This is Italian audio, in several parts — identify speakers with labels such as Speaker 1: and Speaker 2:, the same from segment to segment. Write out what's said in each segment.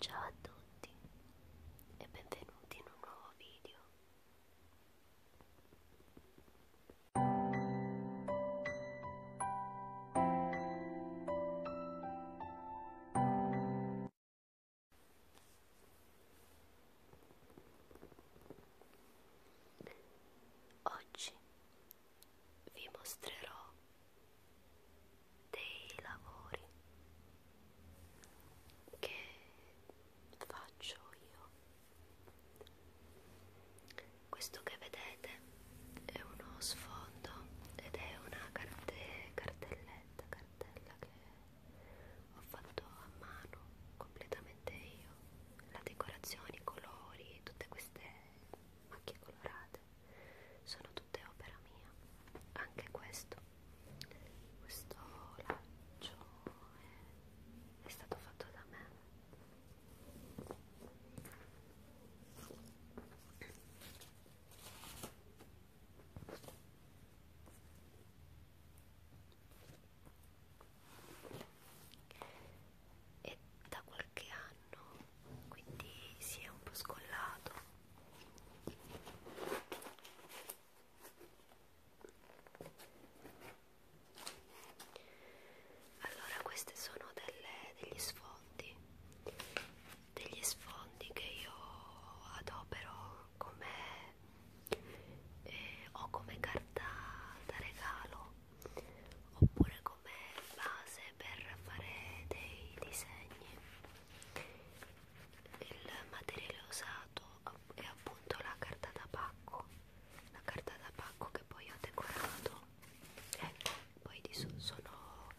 Speaker 1: Ciao a tutti e benvenuti in un nuovo video. Oggi vi mostrerò dei lavori che faccio io. Questo che vedete è uno sfondo ed è una carte cartelletta, cartella che ho fatto a mano completamente io la decorazione, i colori, tutte queste macchie colorate sono tutte opera mia. Anche questo, questo laccio è, è stato fatto da me e da qualche anno quindi si è un po' scollato allora questi sono delle, degli sfondi degli sfondi che io adopero come eh, o come carta da regalo oppure come base per fare dei disegni il materiale usato è appunto la carta da pacco la carta da pacco che poi ho decorato ecco poi di su, sono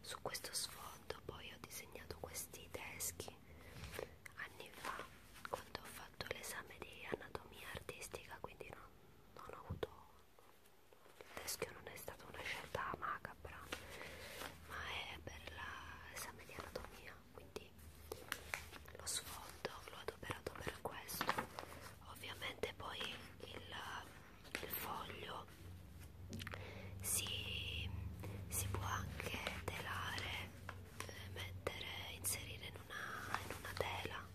Speaker 1: su questo sfondo poi ho disegnato questi teschi anni fa quando ho fatto fatto l'esame di anatomia artistica quindi non, non ho avuto il teschio non è stata una scelta macabra ma è per l'esame di anatomia quindi lo sfondo l'ho adoperato per questo ovviamente poi il, il foglio si, si può anche telare mettere, inserire in una, in una tela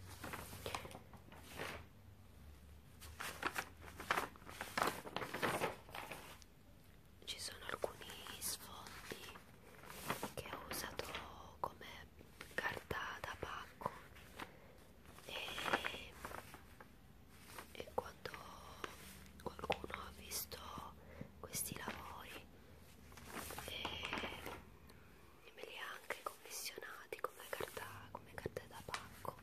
Speaker 1: ci sono alcuni sfondi che ho usato come carta da pacco e, e quando qualcuno ha visto questi lavori e me li ha anche commissionati come carta, come carta da pacco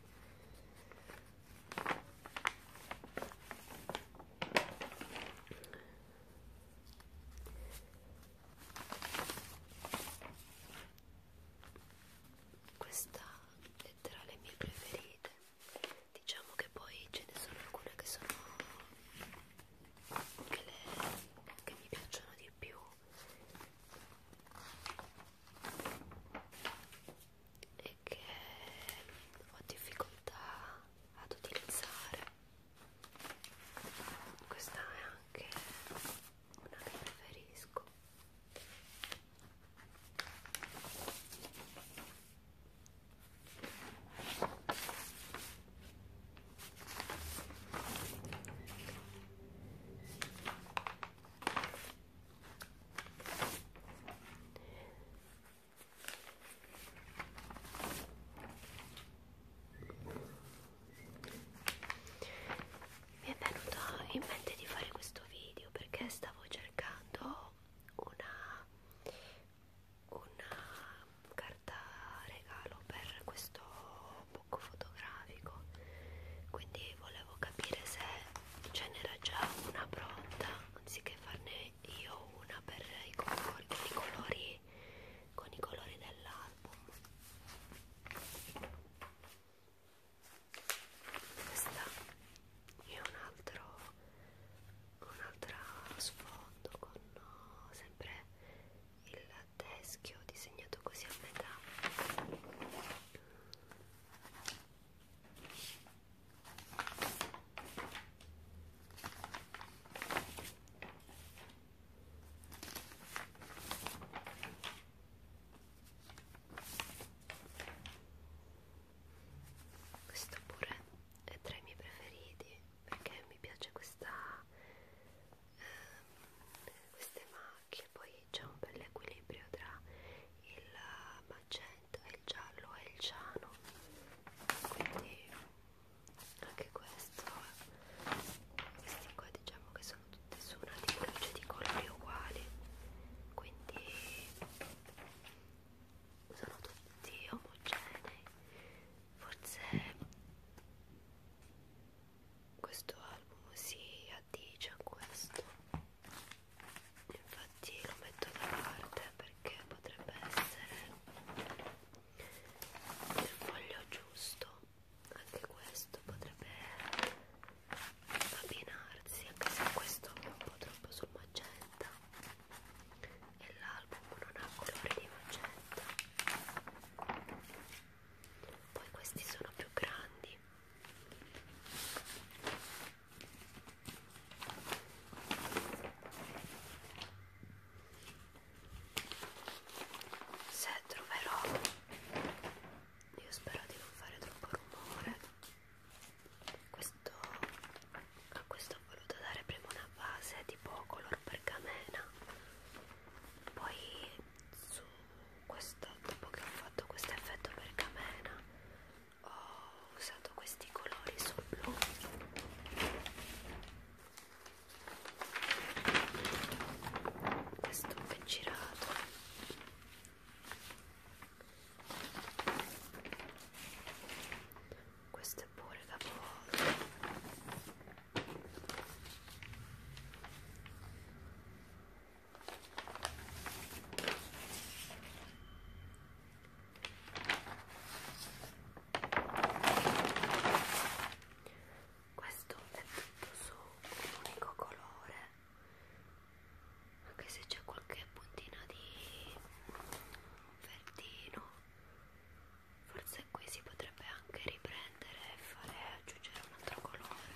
Speaker 1: questa è tra le mie preferite diciamo che poi ce ne sono alcune che sono che, le, che mi piacciono di più e che ho difficoltà ad utilizzare questa è anche una che preferisco mi è venuto in mente di fare questo video perché stavo cercando una una carta regalo per questo book fotografico quindi volevo capire se ce n'era già una pronta anziché farne io una per i colori con i colori, con i colori dell'album questa è un altro un altro sfondo con uh, sempre il teschio disegnato così a metà questo pure è tra i miei preferiti perché mi piace questa ehm, queste macchie poi c'è un bel equilibrio tra il magenta e il giallo e il ciano quindi anche questo questi qua diciamo che sono tutti su una di luce di colori uguali quindi sono tutti omogenei forse questo album si addice a questo infatti lo metto da parte perché potrebbe essere il foglio giusto anche questo potrebbe abbinarsi anche se questo è un po' troppo sul magenta e l'album non ha colore di magenta poi questi sono più grandi se troverò io spero di non fare troppo rumore questo, a questo ho voluto dare prima una base tipo color pergamena poi su questo dopo che ho fatto questo effetto pergamena ho usato questi colori sul blu questo che girato questo è pure capovolto questo è tutto su un unico colore anche se c'è qualche puntina di verdino forse qui si potrebbe anche riprendere e fare aggiungere un altro colore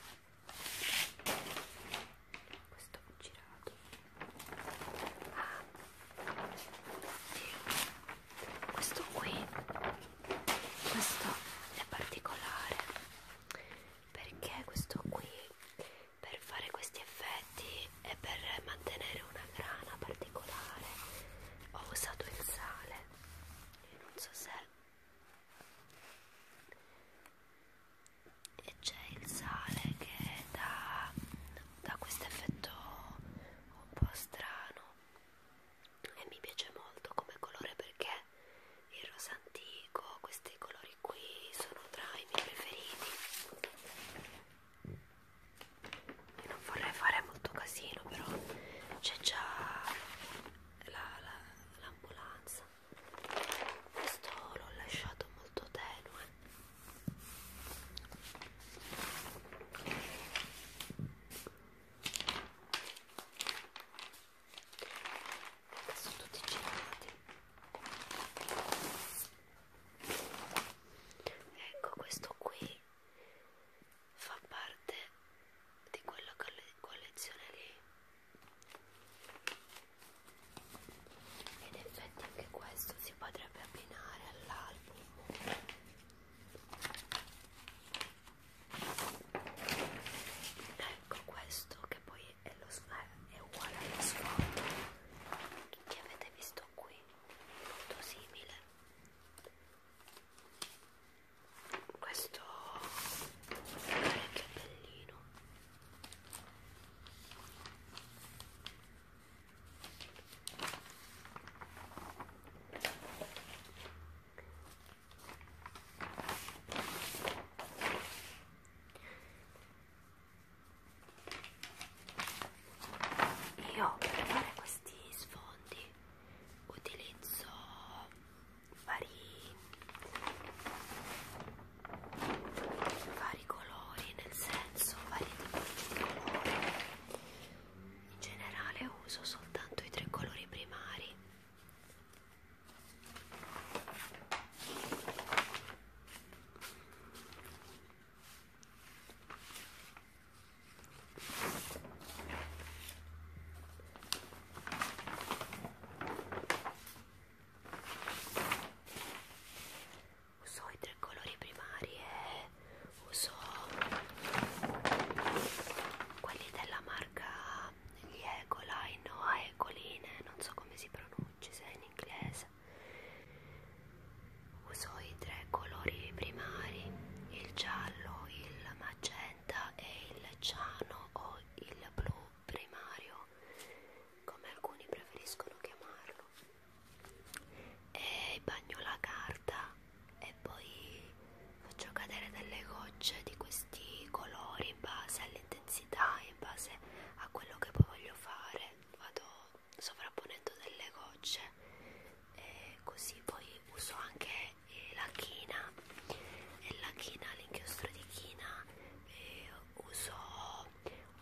Speaker 1: questo ho girato ah. questo qui questo è particolare perché questo qui per fare questi effetti e per mantenere una grana particolare ho usato il sale e non so se e c'è il sale che dà, dà questo effetto un po' strano e mi piace molto come colore perché il rosa antico, questi colori colori qui sono tra i miei preferiti e non vorrei fare molto casino però c'è già l'ambulanza la, la, questo l'ho lasciato molto tenue sono tutti girati ecco questo qui fa parte di quella collezione lì ed effetti anche questo si potrebbe abbinare all'album ecco questo che poi qui è, lo, è uguale allo sfondo che avete visto qui molto simile questo è parecchio bellino io per fare questi sfondi utilizzo vari, vari colori, nel senso vari tipi di colori. In generale uso soltanto i tre colori primari Uso i tre colori primari e uso quelli della marca gli Ecoline o Ecoline, non so come si pronuncia uccisa in inglese. Usò i tre colori primari, il giallo, il magenta e il ciano o il blu primario, come alcuni preferiscono chiamarlo. E bagno la carta e poi faccio cadere delle gocce di questo questi colori in base all'intensità, in base a quello che poi voglio fare, vado sovrapponendo delle gocce e così poi uso anche eh, la china e la china, l'inchiostro di china e uso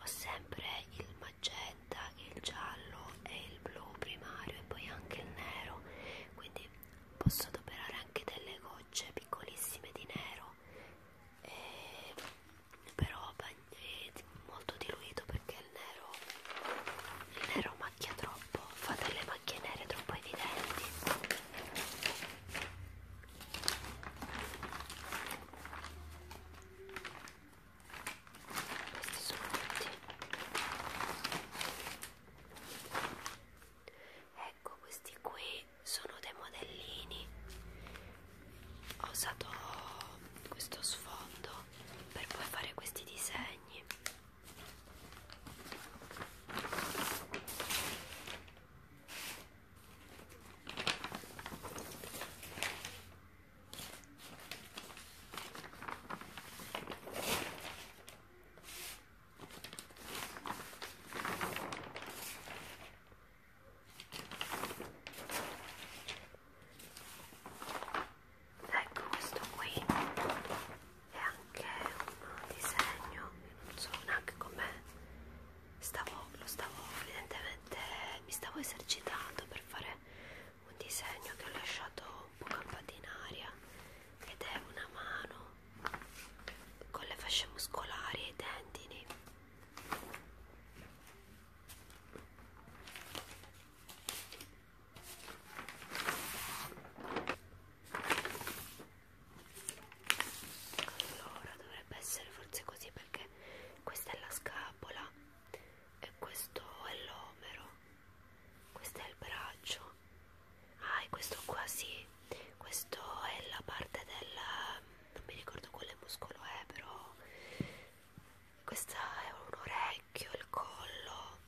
Speaker 1: ho sempre il magenta, il giallo e il blu primario e poi anche il nero quindi posso adoperare anche delle gocce piccolissime di nero e, eh, però è molto diluito perché il nero, il nero macchia troppo, fa delle macchie nere troppo evidenti. Questi sono tutti ecco questi qui sono dei modellini ho usato questo sfondo per poi fare questi disegni Ecco questo qui è anche un disegno, non so neanche com'è, stavo, lo stavo evidentemente, mi stavo esercitando per fare un disegno che ho lasciato un po' campata in aria ed è una mano con le fasce muscolari e i tendini allora dovrebbe essere forse così perché questa è la scapola e questo è l'omero questo è il braccio ah e questo qua sì questo è la parte della non mi ricordo quale muscolo è però questa è un orecchio il collo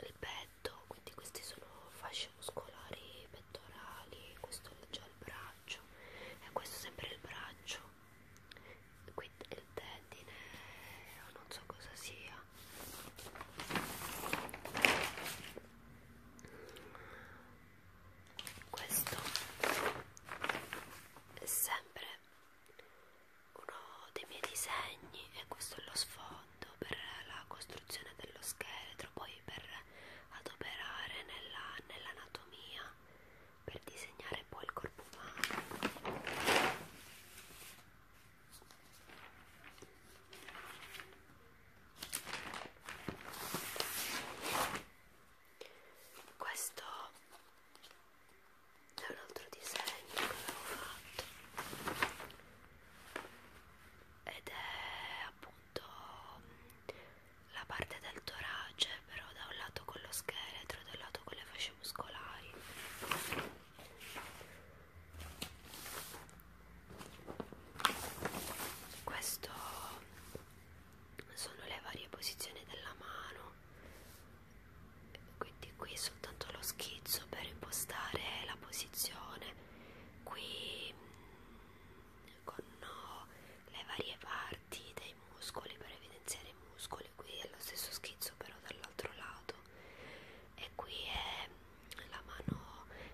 Speaker 1: il petto quindi questi sono fasce muscolari pettorali questo è già il braccio e questo è sempre il braccio qui il tendine non so cosa sia questo è sempre uno dei miei disegni e questo è lo sfondo per la costruzione dello scheletro poi per adoperare nell'anatomia nell per disegnare poi il corpo umano questo è un altro disegno che avevo fatto ed è appunto la parte del torace però da un lato con lo scheletro dal lato con le fasce muscolari questo sono le varie posizioni della mano, quindi qui soltanto lo schizzo per impostare la posizione, qui mm, con le varie parti dei muscoli per evidenziare i muscoli, qui è lo stesso schizzo però dall'altro lato e qui è la mano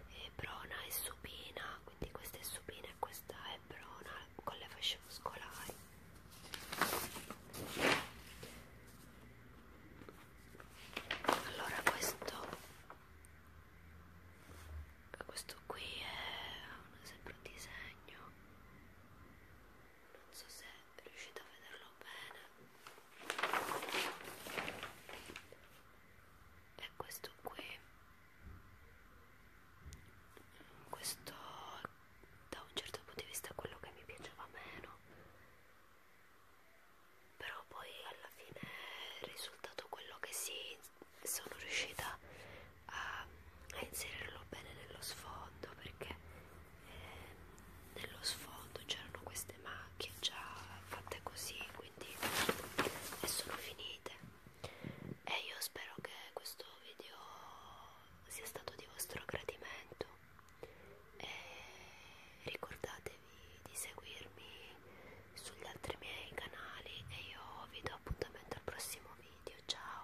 Speaker 1: è brona e supina quindi questa è supina e questa è brona con le fasce muscolari allora questo questo qui è sempre un disegno non so se riuscite a vederlo bene è questo qui questo da un certo punto di vista è quello che mi piaceva meno però poi alla fine è risultato quello che sì sono riuscita a, a inserirlo bene nello sfondo perché eh, nello sfondo c'erano queste macchie già fatte così quindi e sono finite e io spero che questo video sia stato di vostro gradimento e ricordatevi di seguirmi sugli altri miei canali e io vi do appuntamento al prossimo video ciao